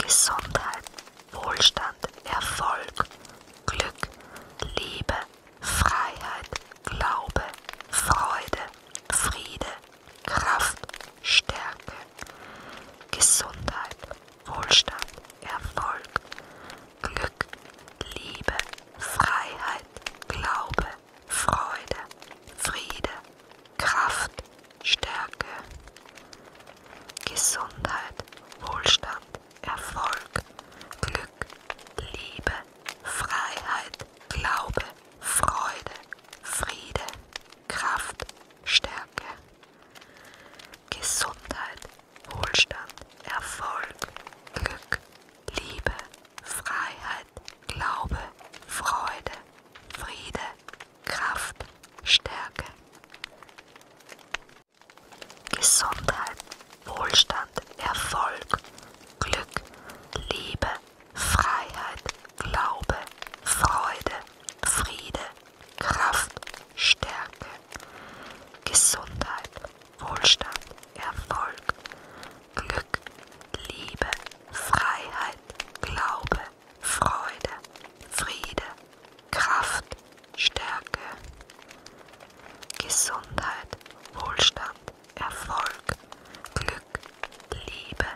Gesundheit, Wohlstand, Erfolg, Glück, Liebe, Freiheit, Glaube, Freude, Friede, Kraft, Stärke, Gesundheit, Wohlstand, Erfolg, Glück, Liebe, Freiheit, Glaube, Freude, Friede, Kraft, Stärke, Gesundheit, Wohlstand, Erfolg, Glück, Liebe, Freiheit, Glaube, Freude, Friede, Kraft, Stärke, Gesundheit, Wohlstand, Erfolg, Glück, Liebe, Freiheit, Glaube, Freude, Friede, Kraft, Stärke, Gesundheit, Wohlstand, Erfolg, Glück, Liebe, Freiheit, Glaube, Freude, Friede, Kraft, Stärke, Gesundheit, Wohlstand, Erfolg, Glück, Liebe, Freiheit, Glaube, Freude, Friede, Kraft, Stärke, Gesundheit, Wohlstand, Erfolg, Glück, Liebe,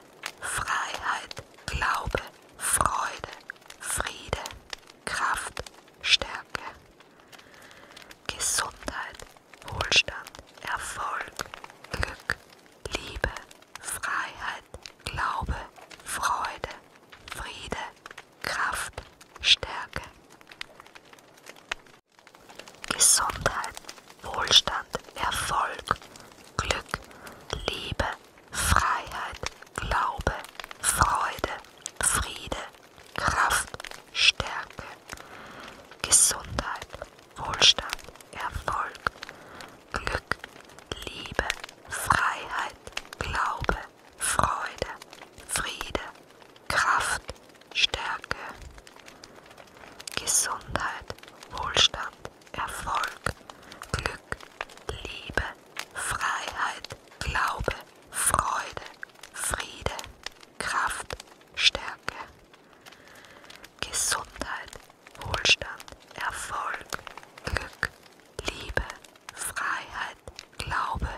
Freiheit, Glaube, Freude, Friede, Kraft, Stärke, Gesundheit, Wohlstand, Erfolg, Glück, Liebe, Freiheit, Glaube, Freude, Friede, Kraft, Stärke. Gesundheit, Wohlstand, Erfolg, Glück, Liebe, Freiheit, Glaube, Freude, Friede, Kraft, Stärke. Gesundheit, Wohlstand, Erfolg, Glück, Liebe, Freiheit, Glaube, Freude, Friede, Kraft, Stärke, Gesundheit, Wohlstand, Erfolg, Glück, Liebe, Freiheit, Glaube, Freude, Friede, Kraft, Stärke. Gesundheit, Wohlstand, Erfolg, Glück, Liebe, Freiheit, Glaube,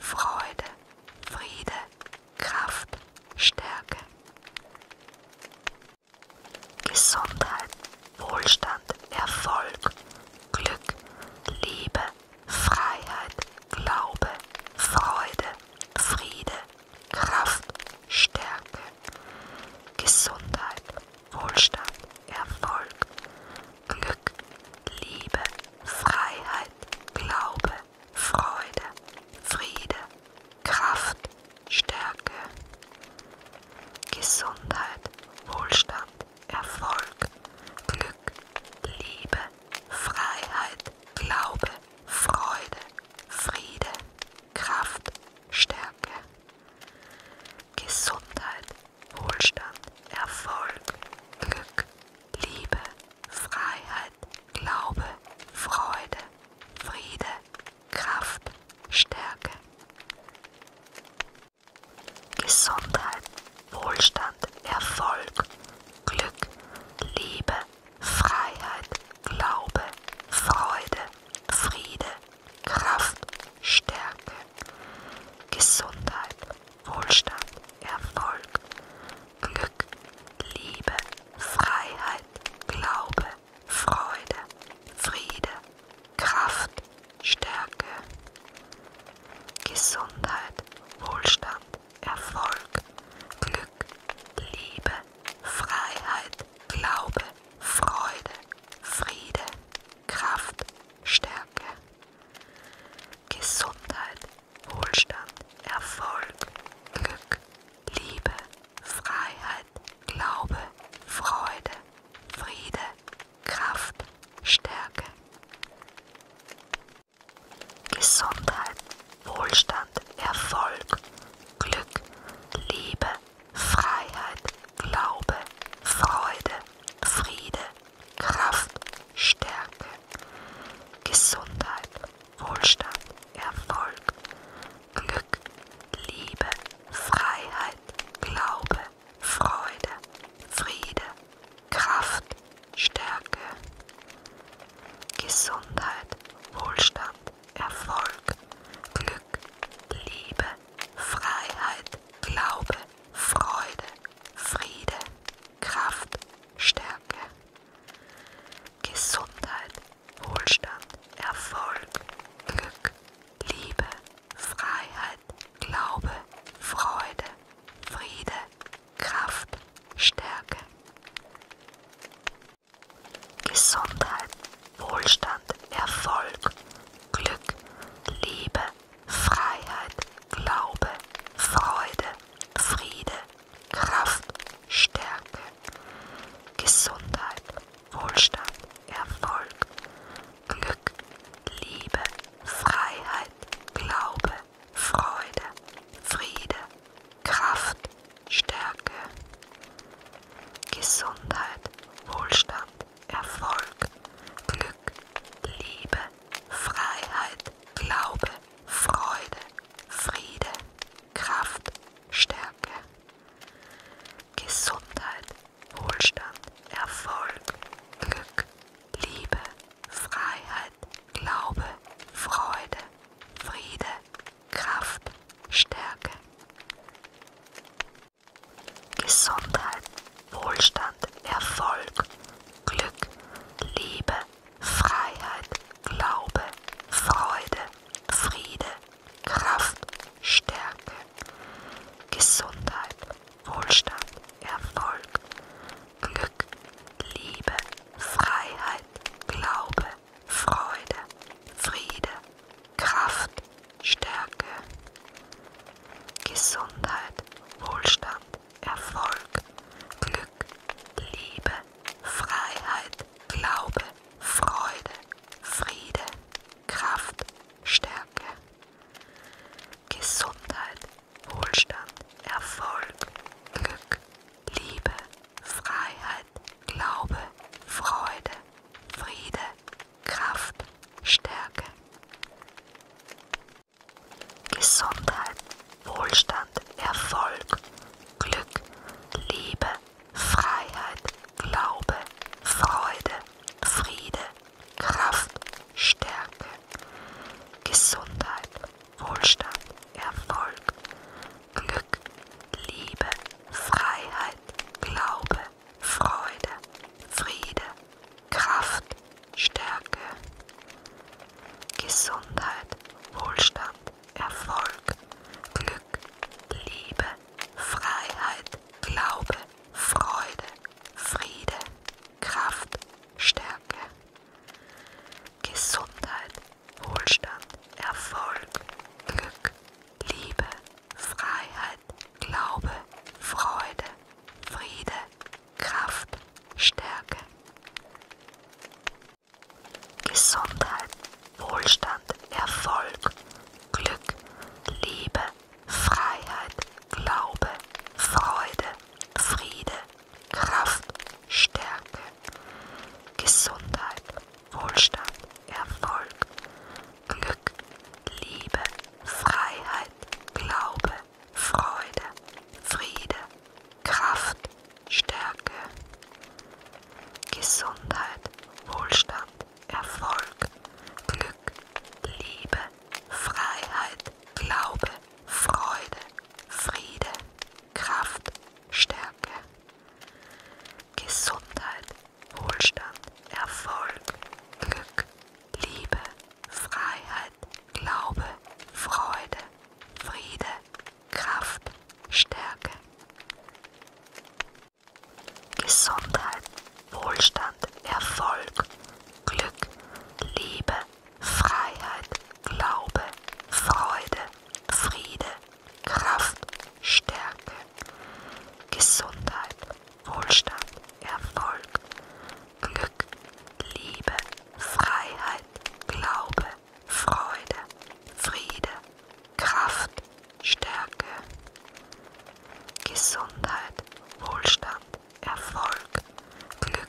Freude, Friede, Kraft, Stärke. Gesundheit, Wohlstand, Erfolg, Glück, Liebe, Freiheit, Glaube, Freude, Friede, Kraft, Stärke, Gesundheit, Wohlstand, Erfolg, Glück, Liebe, Freiheit, Glaube, Freude, Friede, Kraft, Stärke, Gesundheit, Wohlstand, Erfolg, Glück, Liebe, Freiheit, Glaube, Freude, Friede. Kraft, Stärke, Gesundheit, Wohlstand, Erfolg, Glück, Liebe, Freiheit, Glaube, Freude, Friede, Kraft, Stärke. Gesundheit, Wohlstand, Erfolg, Glück, Liebe, Freiheit, Glaube, Freude, Friede, Kraft, Stärke, Gesundheit, Wohlstand, Erfolg, Glück, Liebe, Freiheit, Glaube, Freude, Friede, Kraft, Stärke, Gesundheit, Wohlstand, Erfolg, Glück, Liebe, Freiheit, Glaube, Freude, Friede, Kraft, Stärke, Gesundheit, Wohlstand, Erfolg, Glück, Liebe, Freiheit, Glaube, Freude, Friede, Kraft, Stärke. Gesundheit, Wohlstand, Erfolg, Glück, Liebe, Freiheit, Glaube, Freude, Friede, Kraft, Stärke, Gesundheit, Wohlstand, Erfolg, Glück, Liebe, Freiheit, Glaube, Freude, Friede, Kraft, Stärke, Gesundheit, Wohlstand, Erfolg, Glück, Liebe, Freiheit, Glaube, Freude, Friede, Kraft, Stärke, Gesundheit, Wohlstand, Erfolg, Glück, Liebe, Freiheit, Glaube, Freude, Friede, Kraft, Stärke, Gesundheit, Wohlstand, Erfolg, Glück, Liebe, Freiheit, Glaube, Freude, Friede, Kraft, Stärke, Gesundheit, Wohlstand, Erfolg, Glück, Liebe, Freiheit, Glaube, Freude, Friede, Kraft, Stärke, Gesundheit, Wohlstand, Erfolg, Glück, Liebe, Freiheit, Glaube, Freude, Friede, Kraft, Stärke, Gesundheit, Wohlstand, Erfolg, Glück, Liebe, Freiheit. Gesundheit, Glaube, Freude, Friede, Kraft, Stärke. Gesundheit, Wohlstand, Erfolg, Glück, Liebe, Freiheit, Glaube, Freude, Friede, Kraft, Stärke. Gesundheit, Wohlstand, Erfolg, Glück, Liebe, Freiheit, Glaube, Freude, Friede, Kraft, Stärke, Gesundheit, Wohlstand, Erfolg, Glück, Liebe, Freiheit, Glaube, Freude, Friede, Kraft, Stärke, Gesundheit, Wohlstand, Erfolg, Glück, Liebe, Freiheit, Glaube, Freude, Friede, Kraft, Stärke. Gesundheit, Wohlstand, Erfolg, Glück, Liebe, Freiheit, Glaube, Freude, Friede, Kraft, Stärke, Gesundheit, Wohlstand, Erfolg, Glück, Liebe, Freiheit, Glaube, Freude, Friede, Kraft, Stärke, Gesundheit, Wohlstand, Erfolg, Glück, Liebe, Freiheit, Glaube, Freude, Friede. Kraft, Stärke, Gesundheit, Wohlstand, Erfolg, Glück, Liebe, Freiheit, Glaube, Freude, Friede, Kraft, Stärke, Gesundheit, Wohlstand, Erfolg, Glück, Liebe, Freiheit, Glaube, Freude, Friede, Kraft, Stärke, Gesundheit, Wohlstand, Erfolg, Glück, Liebe, Freiheit, Glaube, Freude, Friede, Kraft, Stärke, Gesundheit, Wohlstand, Erfolg, Glück, Liebe, Freiheit, Glaube, Freude, Friede, Kraft, Stärke, Gesundheit, Wohlstand, Erfolg, Glück, Liebe, Freiheit, Glaube, Freude, Friede, Kraft, Stärke. Gesundheit, Wohlstand, Erfolg, Glück, Liebe, Freiheit, Glaube, Freude, Friede, Kraft, Stärke, Gesundheit, Wohlstand, Erfolg, Glück, Liebe, Freiheit, Glaube, Freude, Friede, Kraft, Stärke, Gesundheit, Wohlstand, Erfolg, Glück,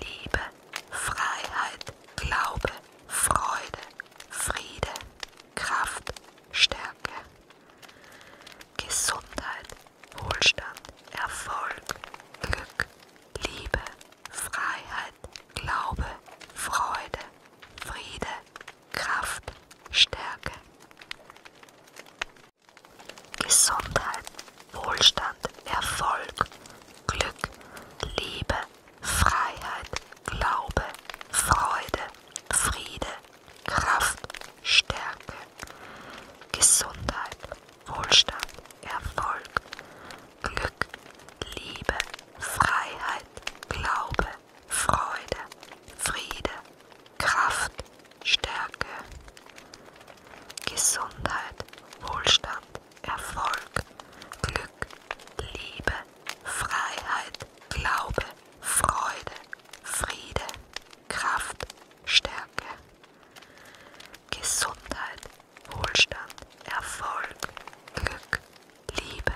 Liebe, Freiheit, Glaube, Freude, Friede, Kraft, Stärke, Gesundheit, Wohlstand, Erfolg, Glück, Liebe, Freiheit, Glaube, Freude, Friede, Kraft, Stärke. Gesundheit, Wohlstand, Erfolg, Glück, Liebe, Freiheit, Glaube, Freude, Friede, Kraft, Stärke, Gesundheit, Wohlstand, Erfolg, Glück, Liebe, Freiheit, Glaube, Freude, Friede, Kraft, Stärke, Gesundheit, Wohlstand, Erfolg, Glück, Liebe, Freiheit, Glaube, Freude, Friede, Kraft, Stärke, Gesundheit, Wohlstand, Erfolg, Glück, Liebe,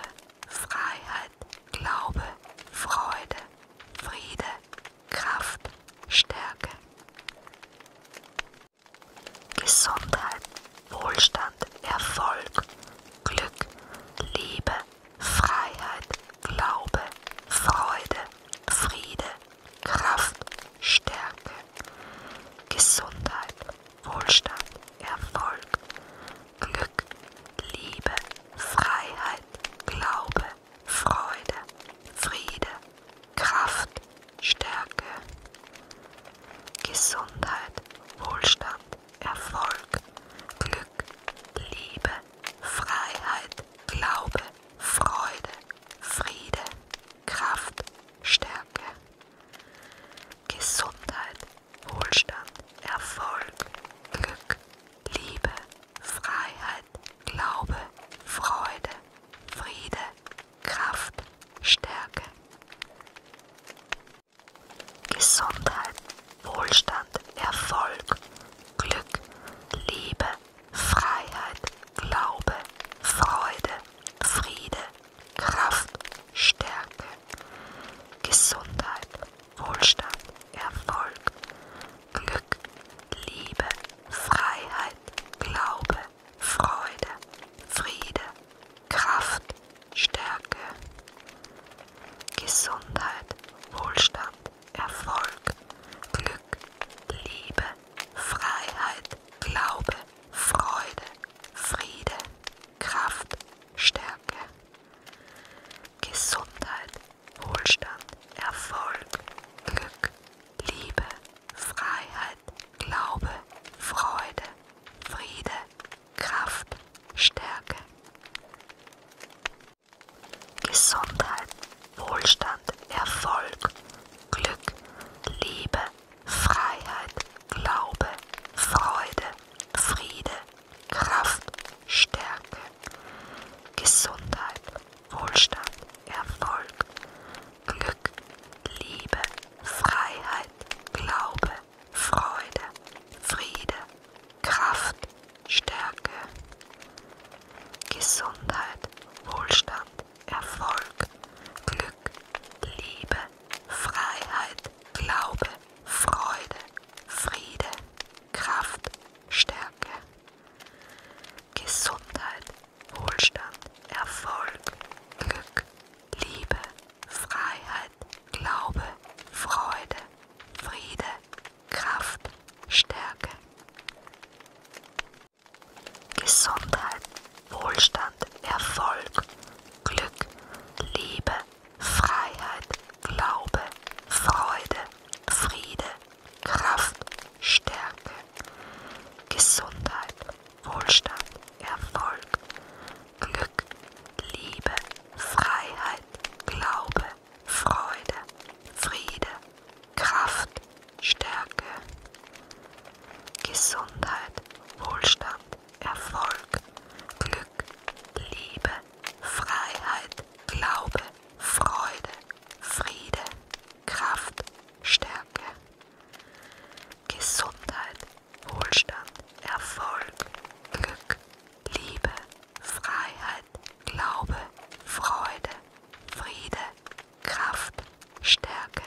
Freiheit, Glaube, Freude, Friede, Kraft, Stärke. Gesundheit, Wohlstand, Erfolg, Glück, Liebe, Freiheit, Glaube, Freude, Friede, Kraft, Stärke. Gesundheit, Wohlstand, Erfolg, Glück, Liebe, Freiheit, Glaube, Freude, Friede, Kraft, Stärke, Gesundheit, Wohlstand, Erfolg, Glück, Liebe, Freiheit, Glaube, Freude, Friede, Kraft, Stärke, Gesundheit, Wohlstand, Erfolg, Glück, Liebe, Freiheit, Glaube, Freude, Friede, Kraft, Stärke. Gesundheit, Wohlstand, Erfolg, Glück, Liebe, Freiheit, Glaube, Freude, Friede, Kraft, Stärke. Gesundheit, Wohlstand, Erfolg, Glück, Liebe, Freiheit, Glaube, Freude, Friede, Kraft, Stärke. Gesundheit, Wohlstand, Erfolg, Glück, Liebe, Freiheit, Glaube, Freude, Friede, Kraft, Stärke. Gesundheit, Wohlstand, Erfolg, Glück, Liebe, Freiheit, Glaube, Freude, Friede, Kraft, Stärke. Gesundheit, Wohlstand, Erfolg, Glück, Liebe, Freiheit, Glaube, Freude, Friede, Kraft, Stärke, Gesundheit, Wohlstand, Erfolg, Glück, Liebe, Freiheit, Glaube, Freude, Friede, Kraft, Stärke, Gesundheit, Wohlstand, Erfolg, Glück, Liebe, Freiheit, Glaube, Freude, Friede, Kraft, Stärke, Gesundheit, Wohlstand, Erfolg, Glück, Liebe, Freiheit, Glaube, Freude, Friede, Kraft, Stärke, Gesundheit, Wohlstand, Erfolg, Glück, Liebe, Freiheit, Glaube, Freude, Friede, Kraft, Stärke, Gesundheit, Wohlstand, Erfolg, Glück, Liebe, Freiheit, Glaube, Freude, Friede, Kraft, Stärke, Gesundheit, Wohlstand, Erfolg, Glück, Liebe, Freiheit, Glaube, Freude, Friede, Kraft, Stärke, Gesundheit, Wohlstand, Erfolg, Glück, Liebe, Freiheit, Glaube, Freude, Friede, Kraft, Stärke.